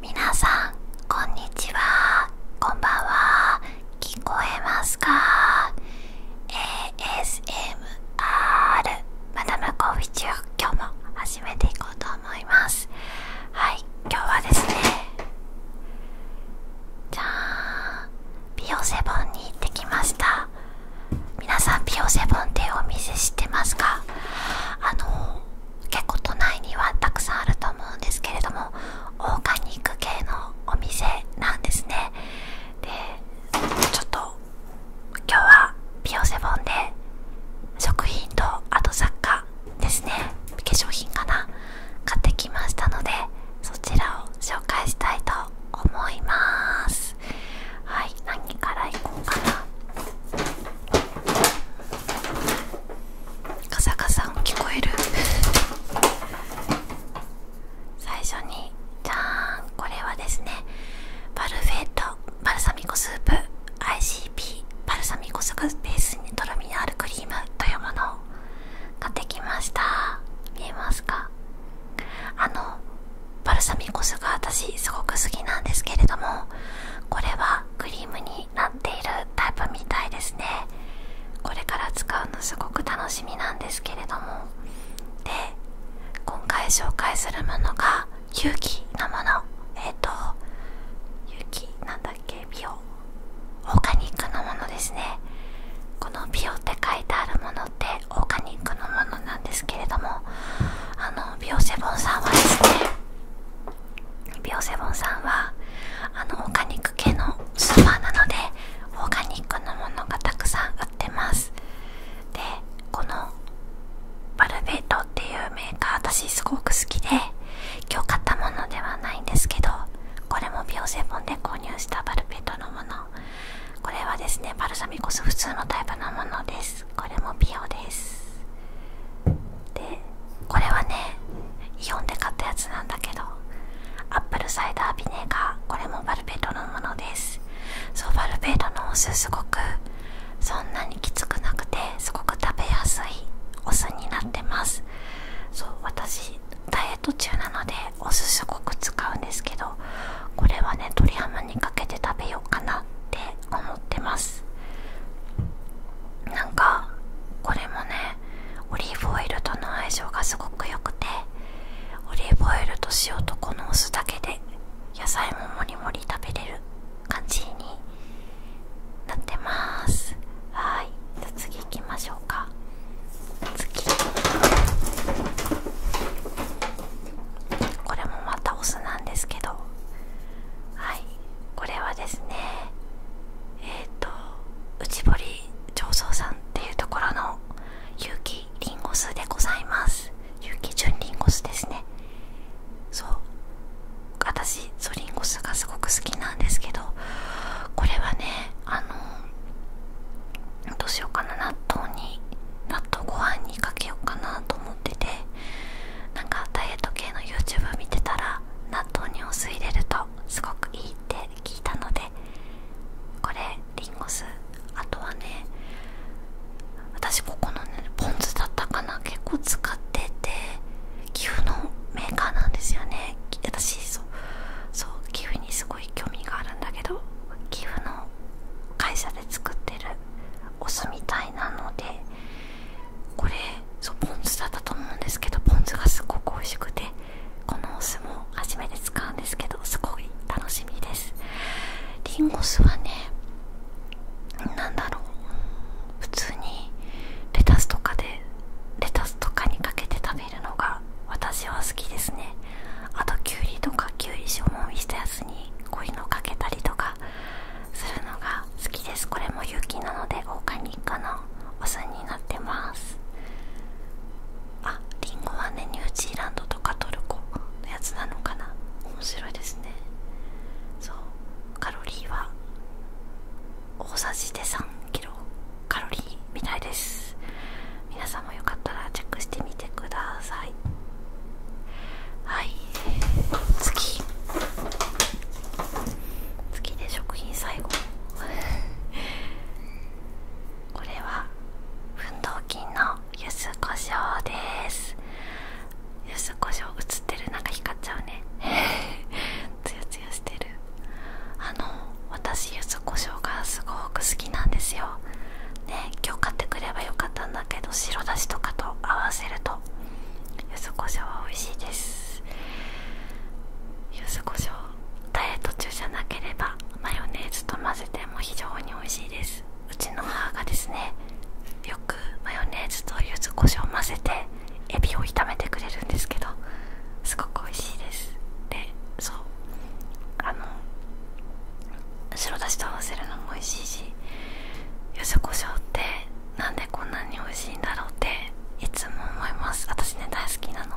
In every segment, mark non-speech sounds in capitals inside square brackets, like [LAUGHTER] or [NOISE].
皆さんこんにちはこんばんは聞こえますか ASMR マダムコーフー中、今日も始めていこうと思いますはい今日はですねじゃん、ビオセボンに行ってきました皆さんピオセボンってお店知ってますかあの結構都内にはたくさんあると思うんですけれどもオーガニック系のお店なんですねでちょっと今日はビオセボンで食品とあと雑貨ですね化粧品かな買ってきましたのでそちらを紹介したいと思いますはい何からいこうかなカサカサ音聞こえる [LAUGHS] 最初にじゃんこれはですねバルフェットバルサミコスープ ICP バルサミコスがベースにとろみのあるクリームというものを買ってきました見えますかあのバルサミコ酢が私すごく好きなんですけれどもこれはクリームになっているタイプみたいですねこれから使うのすごく楽しみなんですけれどもで今回紹介するものが勇気のものえっ、と勇気なんだっけ美容オーガニックのものですねこの美容って書いてあるものってオーガニックのものなんですけれどもあの美容セボンさんはですねビオセボンさんはあのオーガニック系のスーパーなのでオーガニックのものがたくさん売ってますでこのバルベートっていうメーカー私すごく好きで今日買ったものではないんですけどこれもビオセボンで購入したバルベートのものこれはですねバルサミコ酢普通のタイプのものですでこれもピオですでこれはねイオンで買ったやつなんだけどアップルサイダービネガーこれもバルベートのものですそうバルベートのお酢すごくそんなにきつくなくてすごく食べやすいお酢になってますそう私ダイエット中なのでお酢すごく使うんですけどこれはね鶏ハムムにかけて食べようかなって思ってますなんかこれもねオリーブオイルとの相性がすごく良くてオリーブオイルと塩とこのお酢だけで野菜ももりもり食べれる感じになってますはいじゃあ次行きましょうか次これもまたお酢なんですけどはいこれはですねえっ、と内堀醸造さんっていうところの有機リンゴ酢でございます有機純リンゴ酢ですねそう私そうリンゴ酢がすごく好きなんですけどこれはねあのどうしようかな納豆に納豆ご飯にかけようかなと思っててなんかダイエット系の YouTube 見てたら納豆にお酢入れるとすごくいいって聞いたのでこれリンゴ酢あとはね私ここのねポン酢だったかな結構使ってて岐阜のメーカーなんですよね私そうそう寄付にすごい興味があるんだけど寄付の会社で作ってるお酢みたいなのでこれそうポン酢だったと思うんですけどポン酢がすっごく美味しくてこのお酢も初めて使うんですけどすごい楽しみですリンゴ酢はね何だろう普通にレタスとかでレタスとかにかけて食べるのが私は好きですねあときゅうりとかきゅうり塩もみしたやつにこういうのをかけたりとかかするですこれも雪なのでオーガニックのお酢になってますあリンゴはねニュージーランドとかトルコのやつなのかな面白いですねそうカロリーは大さじで3キロカロリーみたいです皆さんもよかったらチェックしてみみてくださいはい次次で食品最後 [LAUGHS] これは奮闘金のゆずこしょうですゆずこしょう映ってるなか光っちゃうねつよつよしてるあの私ゆずこしょうがすごく好きなんですよね今日買ってくればよかったんだけど白だしとかと合わせると柚子胡椒は美味しいです柚子胡椒ダイエット中じゃなければマヨネーズと混ぜても非常に美味しいですうちの母がですねよくマヨネーズと柚子胡椒を混ぜてエビを炒めてくれるんですけどすごく美味しいですでそうあの白だしと合わせるのも美味しいし柚子胡椒ってなんでこんなに美味しいんだろうっていつも思います私ね大好きなの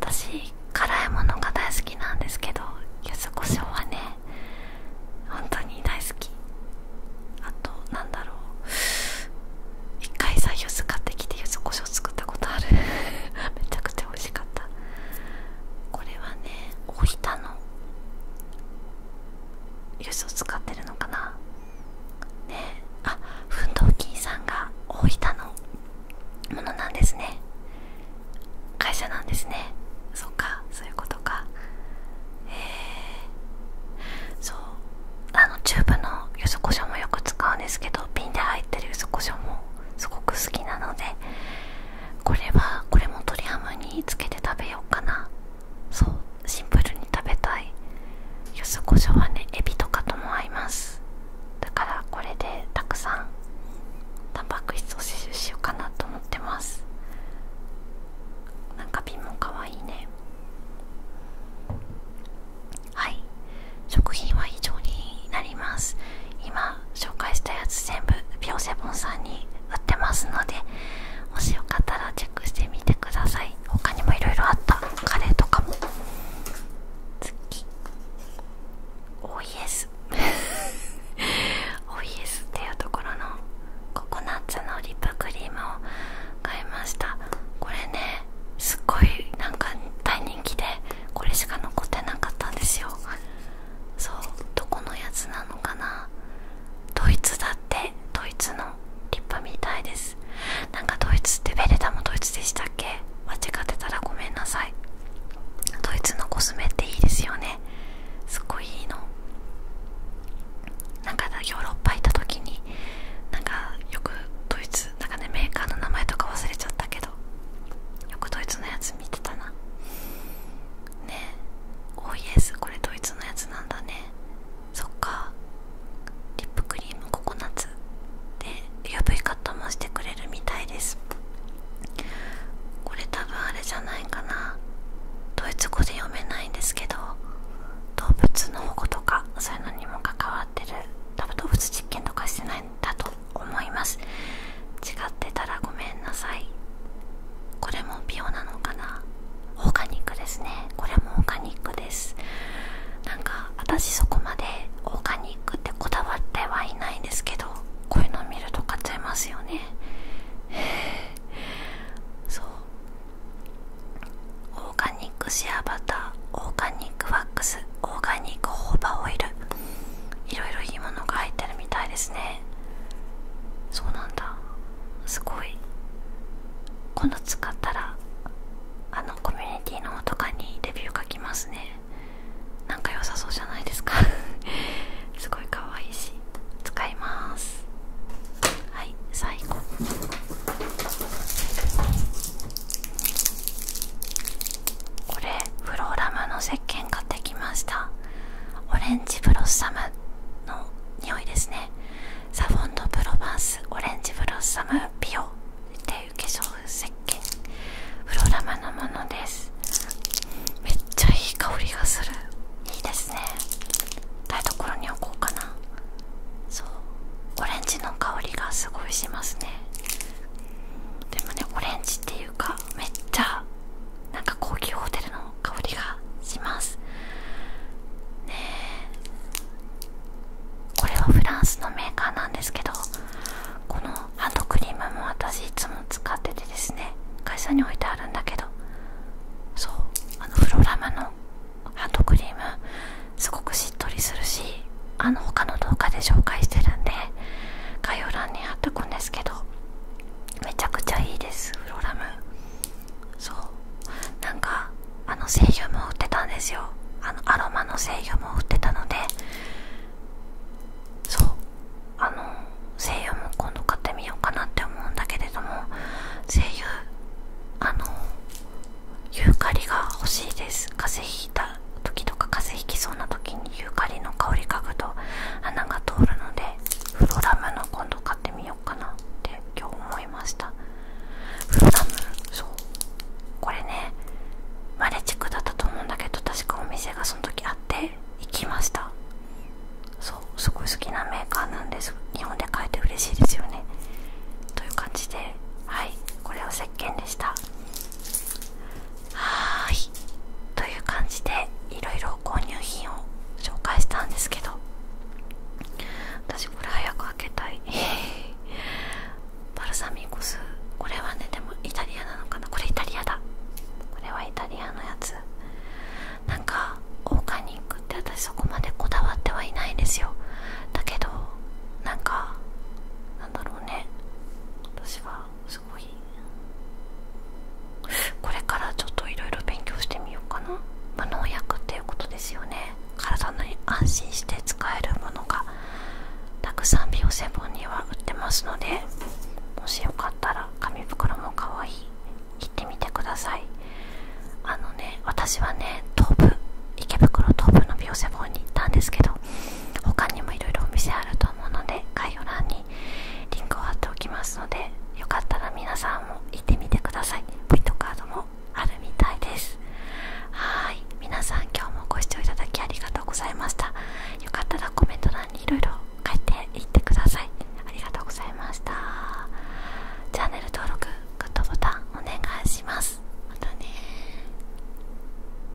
私辛いものが大好きなんですけど柚子胡椒はね本当に大好きあとなんだろう一回さ柚子買ってきて柚子胡椒作ったことある [LAUGHS] めちゃくちゃ美味しかったこれはね大たのユスを使ってるのかなねえあ奮闘金さんが大分のものなんですね会社なんですねそっかそういうことかへえそうあのチューブのゆずこしょうもよく使うんですけど瓶で入ってるゆずこしょうもすごく好きなのでこれはこれも鶏ハムにつけて食べようかなそうシンプルに食べたい柚子胡椒はねエビとかとも合いますだからこれでたくさんタンパク質を摂取しようかなと思ってますなんか瓶もかわいいねはい食品は以上になります今紹介したやつ全部ビオセボンさんに売ってますのでもしよかったらチェックしてみてください他にも色々あったカレーとかも次オイエス [LAUGHS] オイエスっていうところのココナッツのリップクリームを買いましたこれねすっごいなんか大人気でこれしか残ってなかったんですよそうどこのやつなのかなドイツだってドイツの立派みたいですなんかドイツってベレタもドイツでしたっけ間違ってたらごめんなさいドイツのコスメっていいですよねすっごいいいのなんかヨーロッパ行った時になんかよくドイツなんかねメーカーの名前とか忘れちゃったけどよくドイツのやつ見てたなねえおイエスこれドイツのやつなんだねそっかリップクリームココナッツで UV カットもしてくれるみたいですこれ多分あれじゃないかなドイツ語で読めないんですけど動物の保護とかそういうのにも関わってる多分動物実験とかしてないんだと思います違ってたらごめんなさいこれも美容なのかなオーガニックですねこれもオーガニックですなんか私そこまでオーガニックってこだわってはいないんですけどこういうの見ると買っちゃいますよね [LAUGHS] そうオーガニックシアバターオーガニックワックスオーガニックホーバオイルいろいろいいものが入ってるみたいですねそうなんだすごい今度使ったらあのコミュニティのとかにレビュー書きますねなんか良さそうじゃないですか [LAUGHS] すごいか愛いし使いますはい最後これフローラムのか鹸買きましたオレンジブロッサムの匂いですねサフォンド・プロバンスオレンジブロッサムピオっていう化粧石鹸フローラムのものですめっちゃいい香りがするいいですね台所に置こうかなそうオレンジの香りがすごいしますねでもねオレンジっていうめっちゃなんか高級ホテルの香りがしますねえこれはフランスのメーカーなんですけどこのハンドクリームも私いつも使っててですね会社に置いてあるんだけどそうあのフロラマのハンドクリームすごくしっとりするしあの他の動画で紹介してるんで概要欄に貼っとくんですけどめちゃくちゃいいですフロラムそうなんかあの声優も売ってたんですよあのアロマの制御も売ってたのでそうあの声優も今度買ってみようかなって思うんだけれども声優あのユーカリが欲しいです風邪ひいた時とか風邪ひきそうな時にユーカリの香り嗅ぐと鼻が通るのでフロラムの今度買ってみようかなって今日思いましたフロラムそうこれねマレックだったと思うんだけど確かお店がその時あって行きましたそうすごい好きなメーカーなんです日本で買えて嬉しいですよねという感じではいこれは石鹸でしたはいという感じでいろいろ購入品を紹介したんですけど私これ早く開けたい [LAUGHS] バルサミコ酢。これはねでもイタリアなのかなこれイタリアだこれはイタリアのやつなんかオーガニックって私そこまでこだわってはいないんですよだけどなんかなんだろうね私はこれからちょっといろいろ勉強してみようかな、無農薬っていうことですよね体に安心して使えるものがたくさんビオセボンには売ってますのでもしよかったら紙袋もかわいい行ってみてくださいあのね私はね東部池袋東武のビオセボンに行ったんですけど他にもいろいろお店あると思うので概要欄にリンクを貼っておきますのでよかったら皆さんも行ってみてくださいポイントカードもあるみたいですはい皆さん今日もご視聴いただきありがとうございましたよかったらコメント欄にいろいろ書いていってくださいありがとうございましたチャンネル登録グッドボタンお願いしますまたね